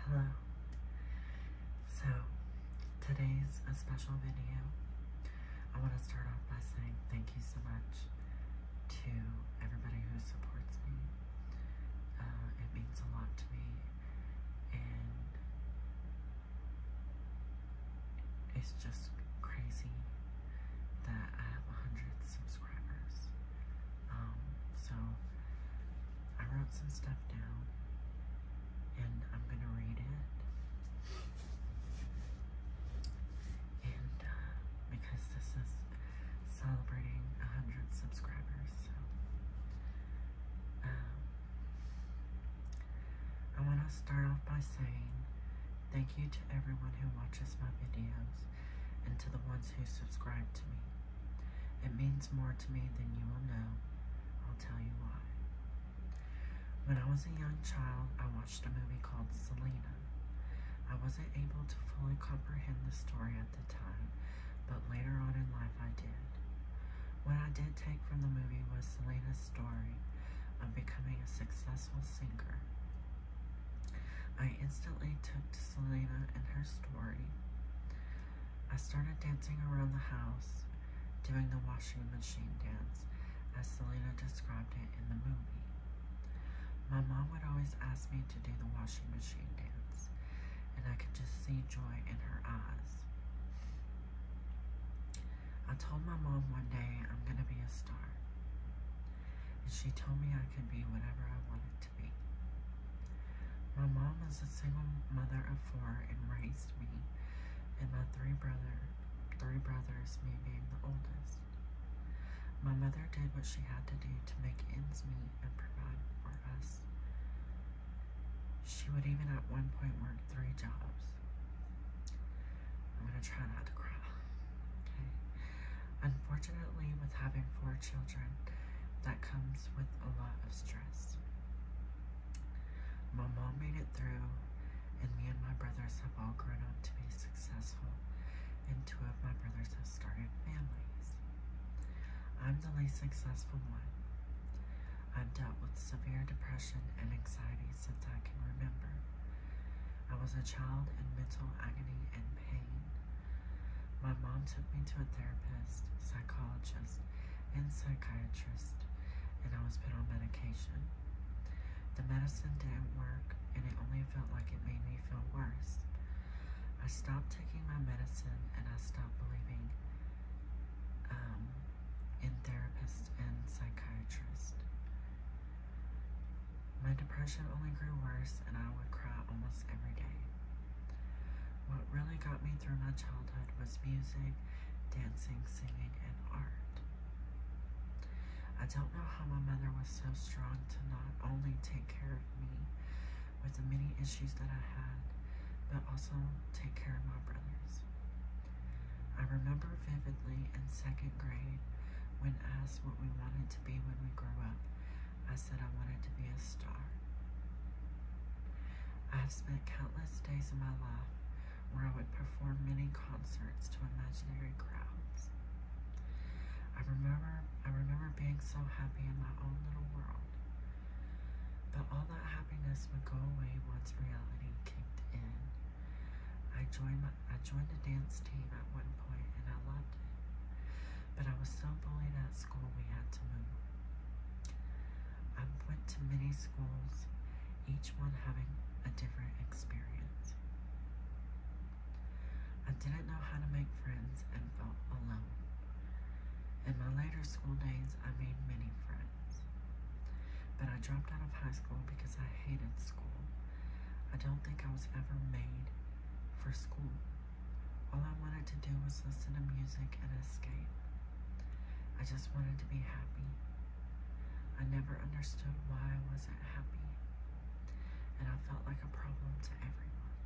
Hello. So, today's a special video. I want to start off by saying thank you so much to everybody who supports me. Uh, it means a lot to me, and it's just crazy that I have 100 subscribers. Um, so, I wrote some stuff down and I'm going to read it. And uh, because this is celebrating 100 subscribers, so um, I want to start off by saying thank you to everyone who watches my videos and to the ones who subscribe to me. It means more to me than you will know. I'll tell you why. When I was a young child, I watched a movie called Selena. I wasn't able to fully comprehend the story at the time, but later on in life I did. What I did take from the movie was Selena's story of becoming a successful singer. I instantly took Selena and her story. I started dancing around the house, doing the washing machine dance, as Selena described it in the movie. My mom would always ask me to do the washing machine dance, and I could just see joy in her eyes. I told my mom one day I'm going to be a star, and she told me I could be whatever I wanted to. My mom was a single mother of four and raised me and my three brother three brothers, me being the oldest. My mother did what she had to do to make ends meet and provide for us. She would even at one point work three jobs. I'm gonna try not to cry. Okay. Unfortunately, with having four children, that comes with a lot of stress. My mom made it through, and me and my brothers have all grown up to be successful, and two of my brothers have started families. I'm the least successful one. I've dealt with severe depression and anxiety since I can remember. I was a child in mental agony and pain. My mom took me to a therapist, psychologist, and psychiatrist, and I was put on medication. The medicine didn't work, and it only felt like it made me feel worse. I stopped taking my medicine, and I stopped believing um, in therapists and psychiatrists. My depression only grew worse, and I would cry almost every day. What really got me through my childhood was music, dancing, singing, and art. I don't know how my mother was so strong to not only take care of me with the many issues that I had, but also take care of my brothers. I remember vividly in second grade when asked what we wanted to be when we grow up. I said I wanted to be a star. I have spent countless days in my life where I would perform many concerts to imaginary crowds. I remember I remember being so happy in my own little world. But all that happiness would go away once reality kicked in. I joined my, I joined a dance team at one some point and I loved it. But I was so bullied at school we had to move. I went to many schools, each one having a different experience. I didn't know how to make friends and felt alone. In my later school days, I made many friends. But I dropped out of high school because I hated school. I don't think I was ever made for school. All I wanted to do was listen to music and escape. I just wanted to be happy. I never understood why I wasn't happy, and I felt like a problem to everyone.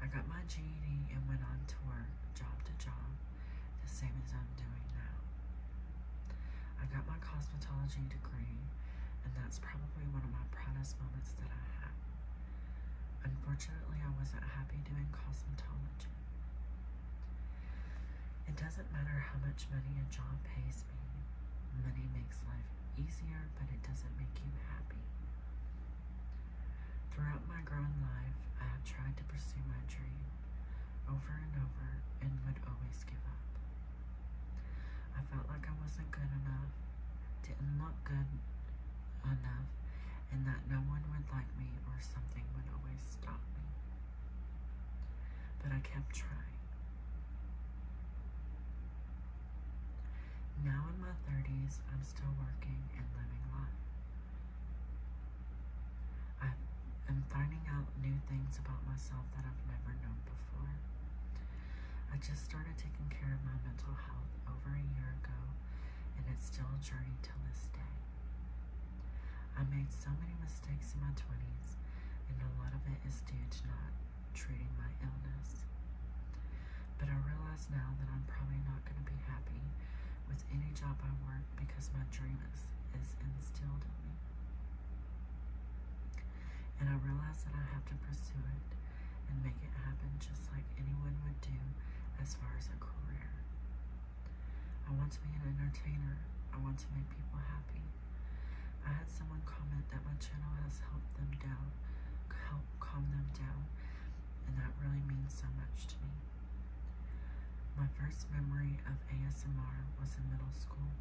I got my GED and went on to work, job to job, the same as I'm doing now. I got my cosmetology degree, and that's probably one of my proudest moments that I had. Unfortunately, I wasn't happy doing cosmetology. It doesn't matter how much money a job pays me. Money makes life easier, but it doesn't make you happy. Throughout my grown life, I have tried to pursue my dream over and over and would always give up. I felt like I wasn't good enough, didn't look good enough, and that no one would like me or something would always stop me. But I kept trying. Now in my 30s, I'm still working and living life. I am finding out new things about myself that I've never known before. I just started taking care of my mental health over a year ago, and it's still a journey till this day. I made so many mistakes in my 20s, and a lot of it is due to not treating my illness. But I realize now that I'm probably not going to be happy with any job I work because my dream is, is instilled in me. And I realize that I have to pursue it and make it happen just like anyone would do as far as a career. I want to be an entertainer. I want to make people happy. I had someone comment that my channel has helped them down, help calm them down, and that really means so much to me. My first memory of ASMR was in middle school.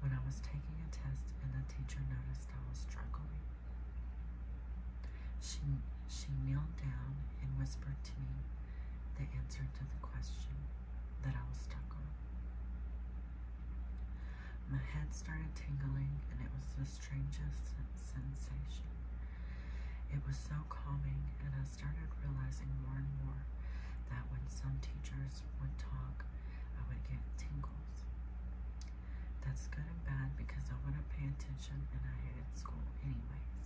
When I was taking a test and the teacher noticed I was struggling, she, she kneeled down and whispered to me the answer to the question that I was stuck on. My head started tingling and it was the strangest sensation. It was so calming and I I started realizing more and more that when some teachers would talk, I would get tingles. That's good and bad because I wouldn't pay attention and I hated school anyways.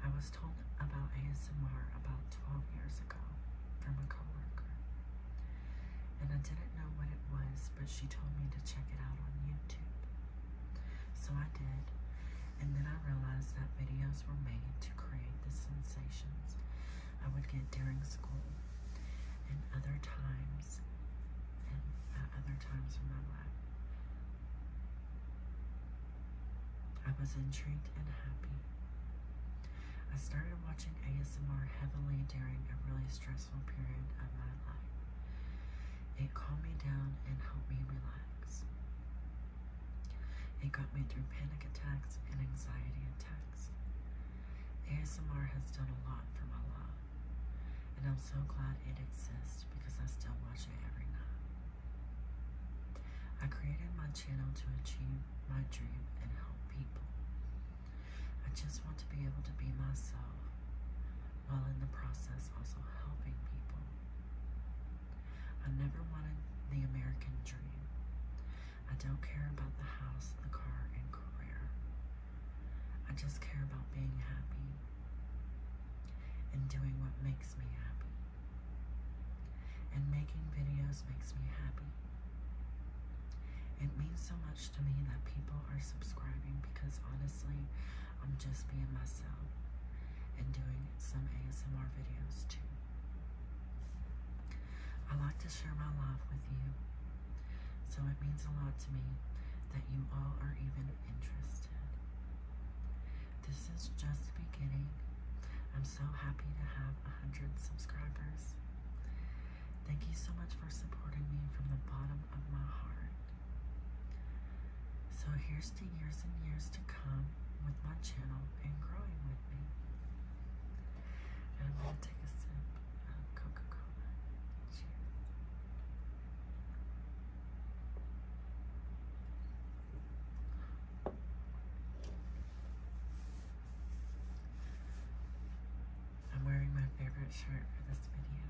I was told about ASMR about 12 years ago from a coworker. And I didn't know what it was, but she told me to check it out on YouTube. So I did, and then I realized that videos were made to create the sensations I would get during school and other times and uh, other times in my life. I was intrigued and happy. I started watching ASMR heavily during a really stressful period of my life. It calmed me down and helped me relax. It got me through panic attacks and anxiety attacks. ASMR has done a lot for my life, and I'm so glad it exists because I still watch it every night. I created my channel to achieve my dream and help people. I just want to be able to be myself while in the process also helping people. I never wanted the American dream. I don't care about the house, the car, and career. I just care about being happy and doing what makes me happy. And making videos makes me happy. It means so much to me that people are subscribing because honestly, I'm just being myself and doing some ASMR videos too. I like to share my life with you, so it means a lot to me that you all are even interested. This is just the beginning. I'm so happy to have 100 subscribers. Thank you so much for supporting me from the bottom of my heart. So here's the years and years to come with my channel and growing with me. I'm going to take a sip of Coca-Cola. I'm wearing my favorite shirt for this video.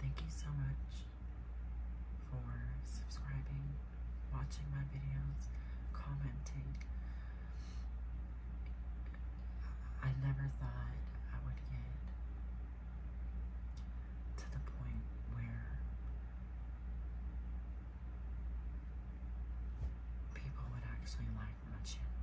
Thank you so much for subscribing, watching my videos, commenting. I never thought I would get to the point where people would actually like my channel.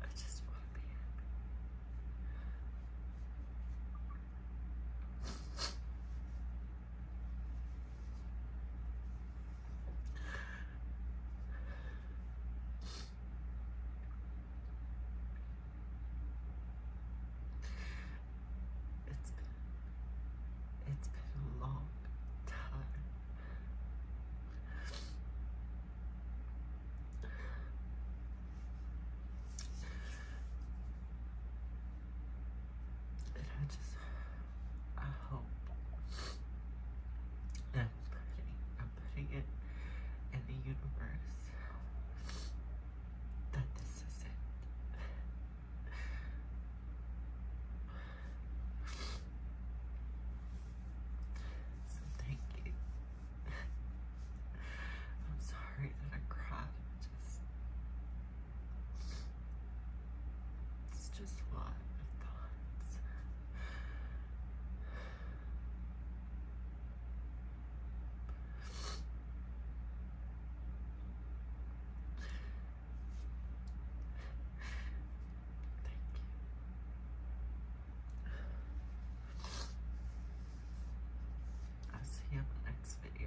I just want to be it's been, it's been a long time. And I just I hope. I'm putting, it in the universe that this is it. So thank you. I'm sorry that I cried. just it's just a lot of thoughts. Thank you. I'll see you in the next video.